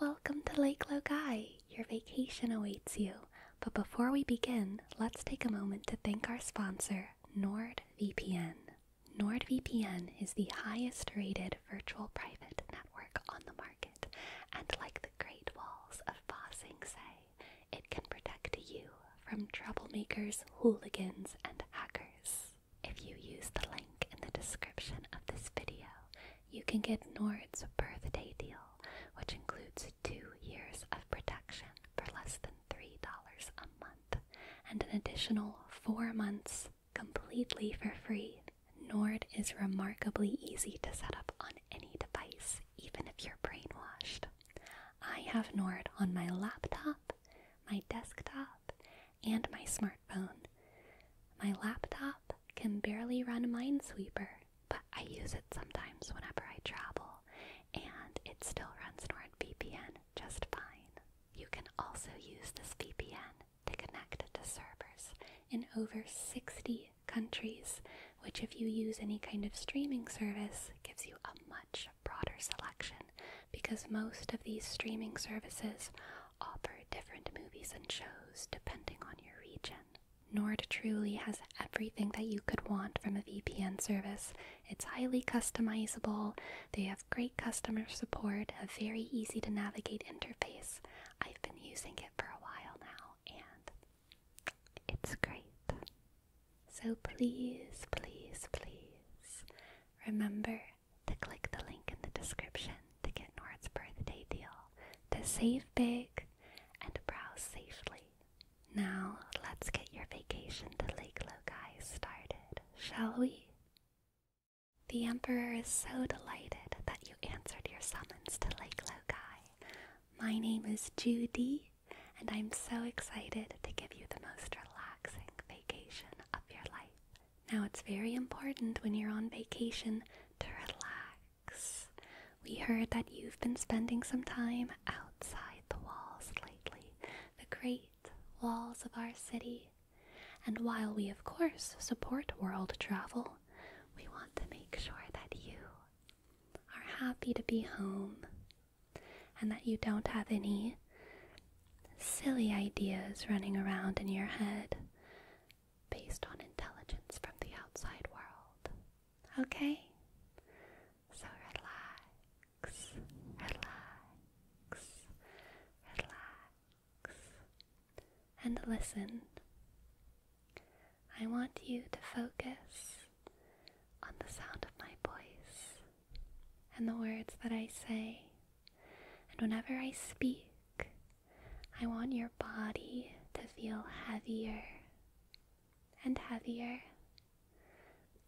Welcome to Lake Logai! Your vacation awaits you. But before we begin, let's take a moment to thank our sponsor, NordVPN. NordVPN is the highest rated virtual private network on the market, and like the great walls of Ba Sing Se, it can protect you from troublemakers, hooligans, and hackers. If you use the link in the description of this video, you can get Nord's birthday deal, which includes two years of protection for less than $3 a month and an additional four months completely for free. Nord is remarkably easy to set up on any device, even if you're brainwashed. I have Nord on my laptop, my desktop, and my smartphone. My laptop can barely run Minesweeper, but I use it sometimes whenever I travel, and it still runs NordVPN just fine. You can also use this VPN to connect to servers in over 60 countries, which, if you use any kind of streaming service, gives you a much broader selection because most of these streaming services offer different movies and shows depending on your region. Nord truly has everything that you could want from a VPN service. It's highly customizable, they have great customer support, a very easy to navigate interface. I've been using it for a while now and it's great. So please, please, please remember to click the link in the description to get Nord's birthday deal, to save big, and browse safely. Now, let's get your vacation to Lake Lokai started, shall we? The Emperor is so delighted that you answered your summons to Lake Lokai. My name is Judy, and I'm so excited to give you the most relaxing vacation of your life. Now, it's very important when you're on vacation to relax. We heard that you've been spending some time outside the walls lately, the great walls of our city. And while we, of course, support world travel, we want to make sure that you are happy to be home and that you don't have any silly ideas running around in your head based on intelligence from the outside world. Okay? So relax, relax, relax, and listen. I want you to focus on the sound of my voice and the words that I say. And whenever I speak, I want your body to feel heavier and heavier.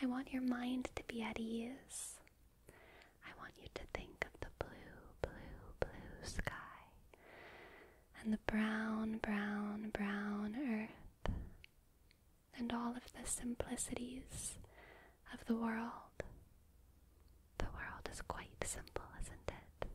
I want your mind to be at ease. I want you to think of the blue, blue, blue sky and the brown, brown, brown earth and all of the simplicities of the world. The world is quite simple, isn't it?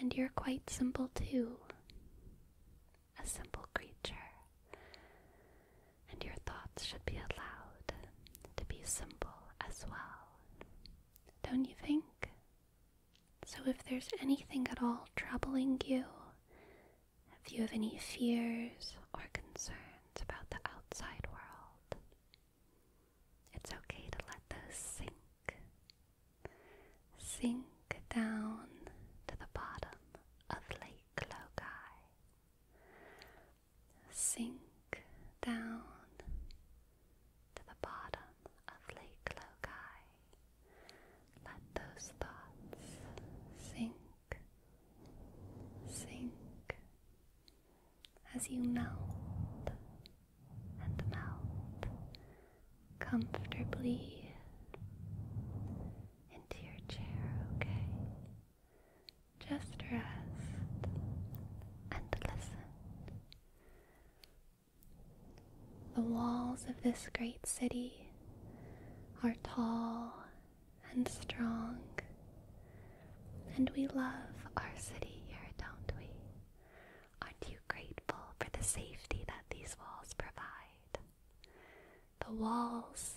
And you're quite simple too. A simple creature. And your thoughts should be allowed to be simple as well. Don't you think? So, if there's anything at all troubling you, if you have any fears or concerns about the outside world, it's okay to let those sink, sink down to the bottom of Lake Logai, sink down to the bottom of Lake Logai. Let those thoughts sink, sink as you melt and melt comfortably into your chair, okay? Just rest and listen. The walls of this great city are tall and strong and we love our city here, don't we? Aren't you grateful for the safety that these walls provide? The walls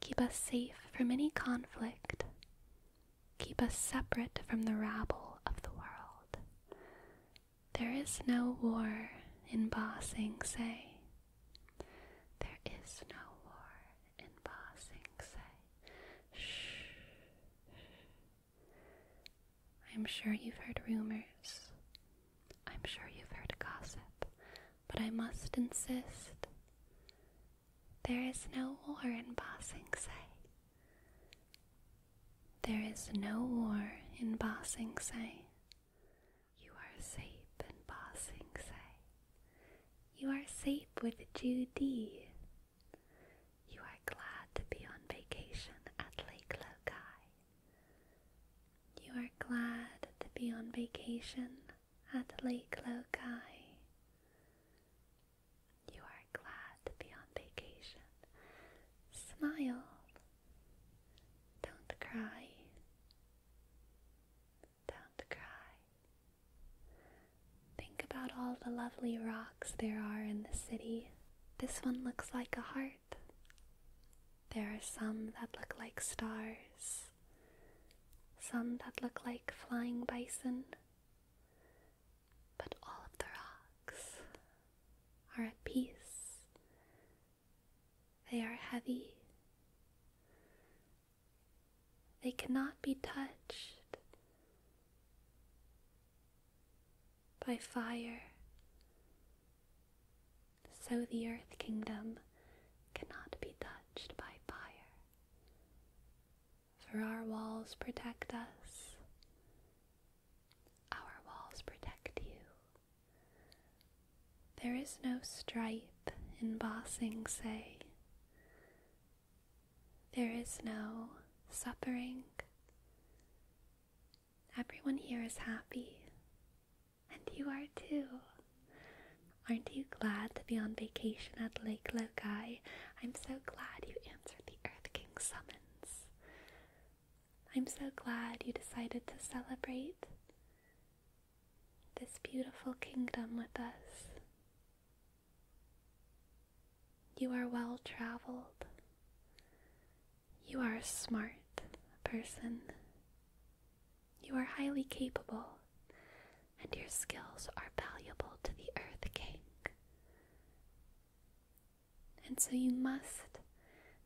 keep us safe from any conflict, keep us separate from the rabble of the world. There is no war in Ba Sing Se. There is no war in passing say, shh. I'm sure you've heard rumors. I'm sure you've heard gossip. But I must insist. There is no war in Ba Sing There is no war in Ba Sing You are safe in Ba Sing You are safe with Judy. You are glad to be on vacation at Lake Lokai. You are glad to be on vacation at Lake Lokai. You are glad to be on vacation. Smile. Don't cry. Don't cry. Think about all the lovely rocks there are in the city. This one looks like a heart. There are some that look like stars, some that look like flying bison, but all of the rocks are at peace. They are heavy. They cannot be touched by fire. So the earth kingdom cannot be touched by fire. For our walls protect us, our walls protect you. There is no stripe embossing, say, there is no suffering. Everyone here is happy. And you are too. Aren't you glad to be on vacation at Lake Lokai? I'm so glad you answered the Earth King's summons. I'm so glad you decided to celebrate this beautiful kingdom with us. You are well traveled. You are a smart person. You are highly capable, and your skills are valuable to the Earth King. And so you must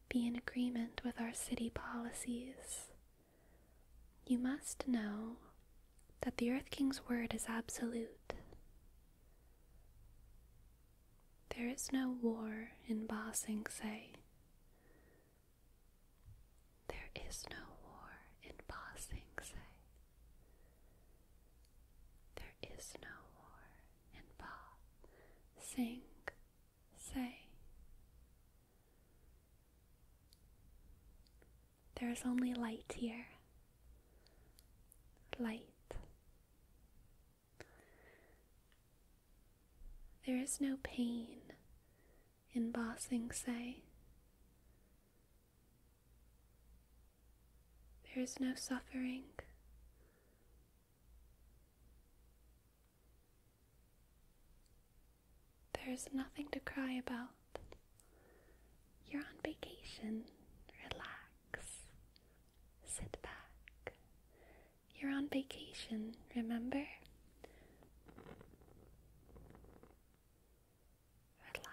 be in agreement with our city policies. You must know that the Earth King's word is absolute. There is no war in Ba Sing Se. There is no war in Ba Sing Se. There is no war in Ba Sing Se. There is only light here. Light. There is no pain in Bossing say. There is no suffering. There is nothing to cry about. You're on vacation. Relax. Sit back. You're on vacation, remember? Relax.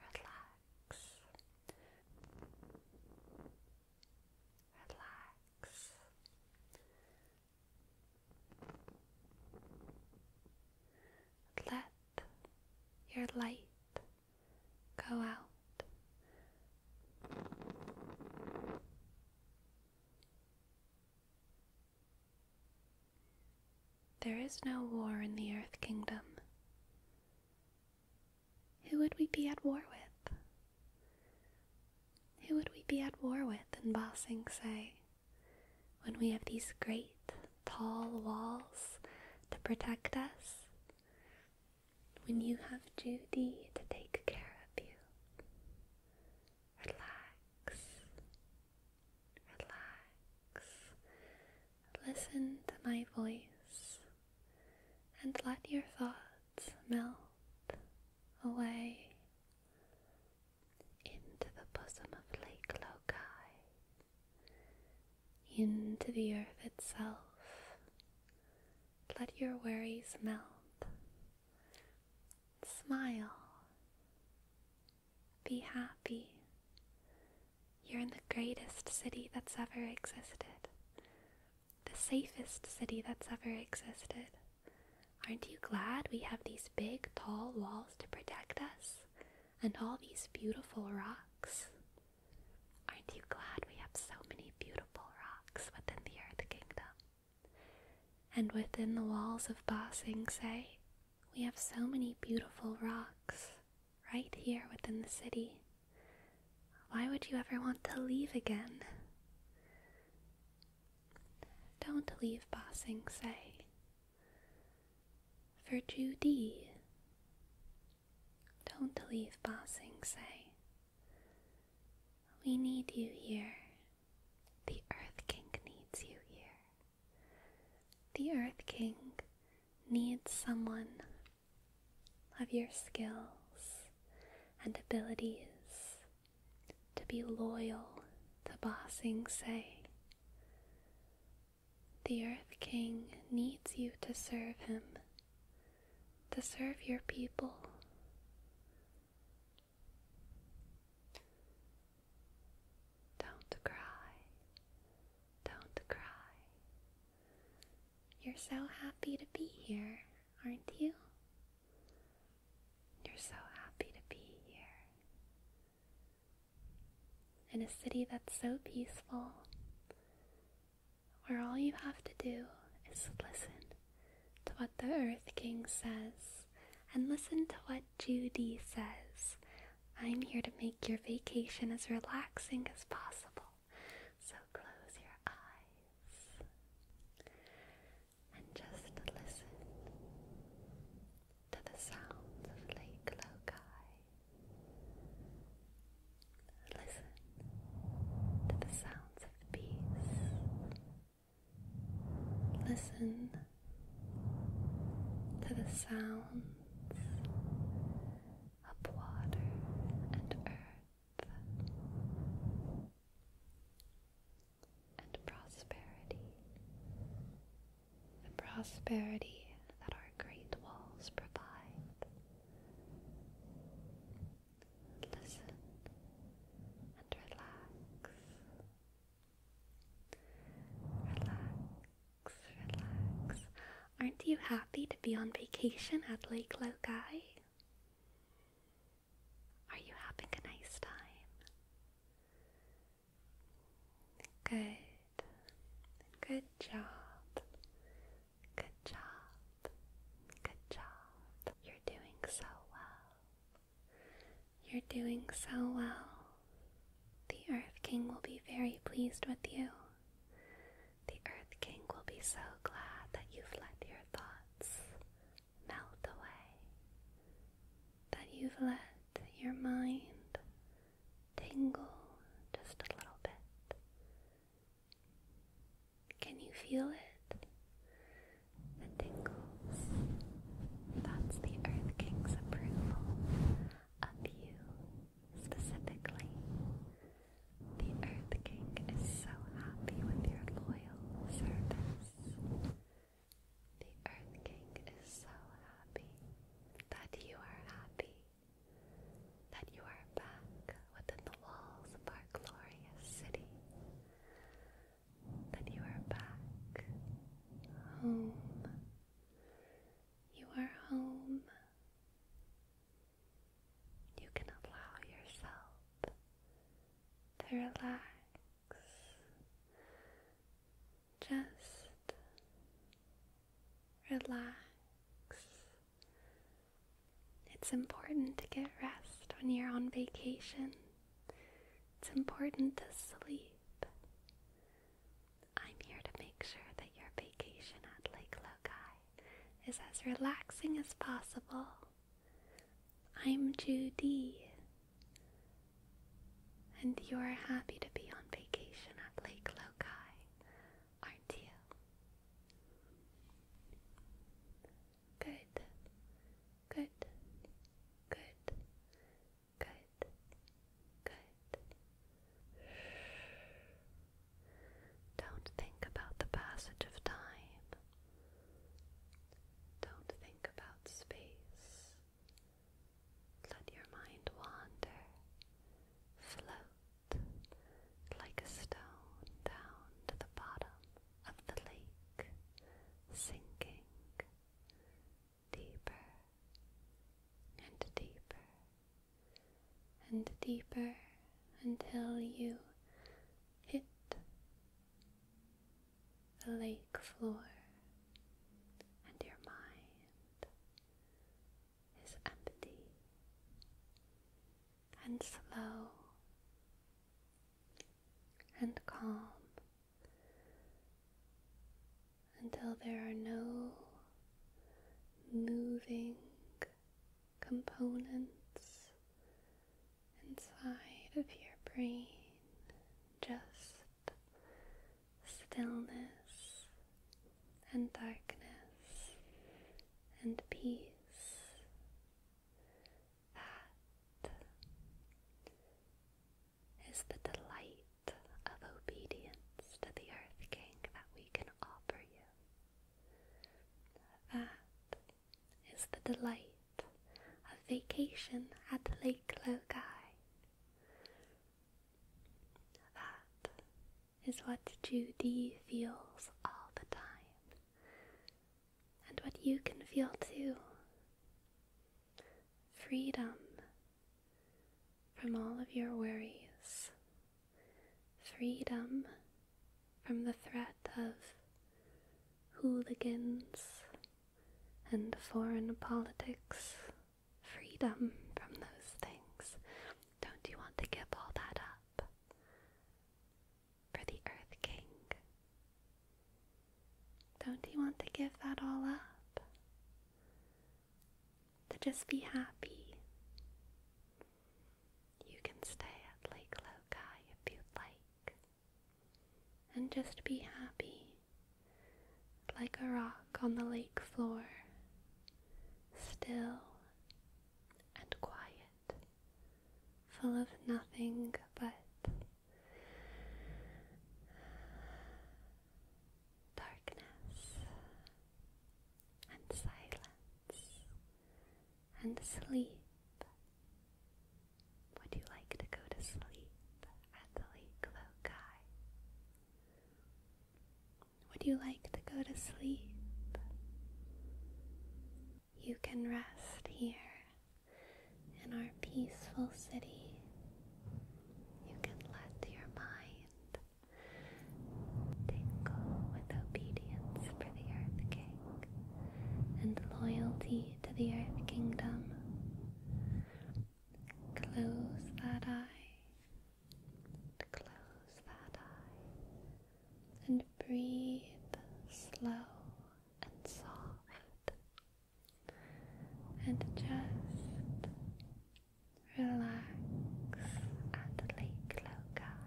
Relax. Relax. Let your light go out. There is no war in the Earth Kingdom. Who would we be at war with? Who would we be at war with in Ba when we have these great, tall walls to protect us? When you have Judy to take care of you? Relax. Relax. Listen to my voice and let your thoughts melt away into the bosom of Lake Lokai, into the earth itself. Let your worries melt. Smile. Be happy. You're in the greatest city that's ever existed the safest city that's ever existed. Aren't you glad we have these big, tall walls to protect us? And all these beautiful rocks? Aren't you glad we have so many beautiful rocks within the Earth Kingdom? And within the walls of Ba Sing Se, we have so many beautiful rocks right here within the city. Why would you ever want to leave again? Don't leave Bossing say. For Judy. Don't leave Bossing say. We need you here. The Earth King needs you here. The Earth King needs someone of your skills and abilities to be loyal to Ba Sing Se. The Earth King needs you to serve him, to serve your people. Don't cry, don't cry. You're so happy to be here, aren't you? You're so happy to be here. In a city that's so peaceful, where all you have to do is listen to what the Earth King says and listen to what Judy says. I'm here to make your vacation as relaxing as possible, so close your eyes and just listen to the sounds of Lake Lokai. Listen to the sounds of peace. Listen to the sounds of water and earth and prosperity. The prosperity that our great walls provide. Listen and relax. Relax, relax. Aren't you happy to be on vacation at Lake Lokai? Are you having a nice time? Good. Good job. Good job. Good job. You're doing so well. You're doing so well. The Earth King will be very pleased with you. The Earth King will be so glad that you've let your thoughts melt away, that you've let your mind tingle just a little bit. Can you feel it? The tingles. That's the Earth King's approval of you specifically. The Earth King is so happy with your loyalty service. The Earth King is so happy that you are happy, that you are back within the walls of our glorious city, that you are back home. You are home. You can allow yourself to relax, just relax. It's important to get rest when you're on vacation. It's important to sleep. I'm here to make sure that your vacation at Lake Lokai is as relaxing as possible I'm Judy, and you're happy to be on vacation at Lake Lokai, aren't you? Good, good, good, good, good. Don't think about the passage of time. Don't think about space. Let your mind wander. Float like a stone down to the bottom of the lake, sinking deeper and deeper and deeper until you hit the lake floor, and your mind is empty and slow and calm until there are no moving components inside of your brain, just stillness and darkness and peace. That is the delight of obedience to the Earth King that we can offer you. That is the delight of vacation at Lake Logai. That is what Judy feels all the time, and what you can feel too. Freedom from all of your worries, freedom from the threat of hooligans and foreign politics. Freedom from those things. Don't you want to give all that up for the Earth King? Don't you want to give that all up? To just be happy. You can stay at Lake Lokai if you'd like, and just be happy, like a rock on the lake floor, still and quiet, full of nothing but darkness and silence and sleep. Would you like to go to sleep at the lake loci? Would you like to go to sleep? You can rest here in our peaceful city. You can let your mind tingle with obedience for the earth king and loyalty to the Earth Kingdom. Close that eye, close that eye, and breathe slow and soft, and just relax at Lake Lokai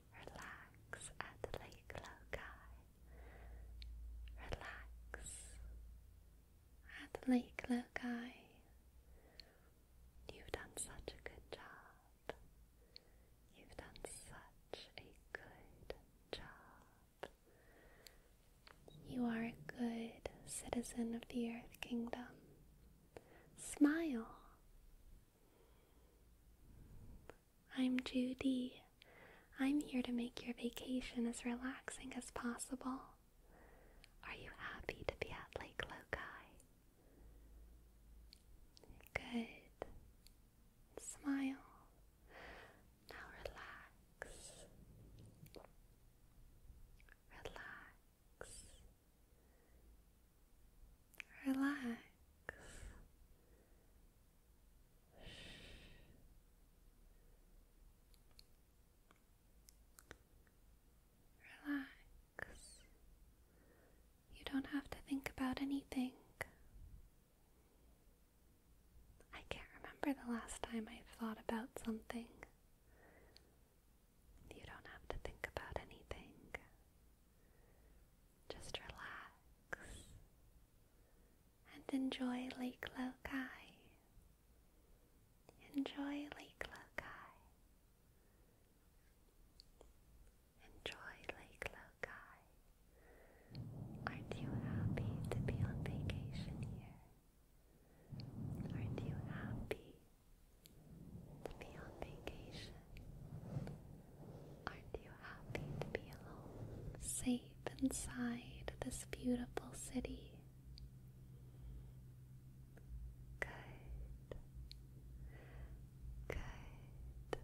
Relax at lake Lokai. Relax at lake Lokai. You've done such a good job. You've done such a good job. You are a good citizen of the Earth Kingdom. Smile. I'm Judy. I'm here to make your vacation as relaxing as possible. Are you happy to be at Lake Lokai? Good. Smile. Now relax. Relax. Relax. Relax. You don't have to think about anything. I can't remember the last time I thought about something. You don't have to think about anything. Just relax and enjoy Lake Lokai. Enjoy Lake Lokai. Enjoy Lake Lokai. Aren't you happy to be on vacation here? Aren't you happy to be on vacation? Aren't you happy to be alone, safe inside this beautiful city? Good. Good.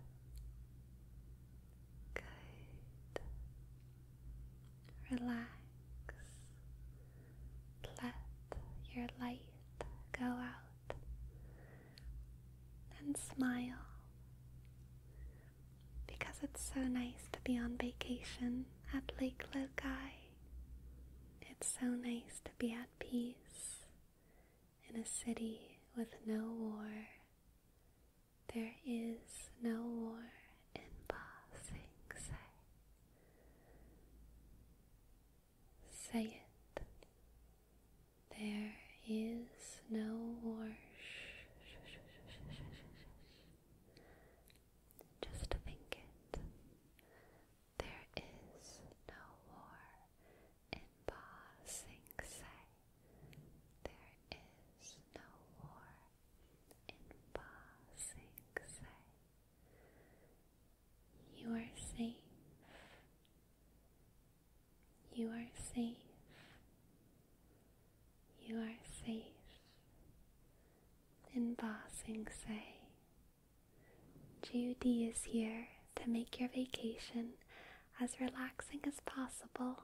Good. Relax. Let your light go out and smile because it's so nice to be on vacation at Lake Lokai. It's so nice to be at peace in a city with no war. There is no war in Ba Sing Se. Say it. There is no war. Shh, shh, shh, shh, shh, shh, shh. Just think it. There is no war in Ba Sing Se. There is no war in Ba Sing Se. You are safe. You are safe. You are safe. And Bossing say, Judy is here to make your vacation as relaxing as possible.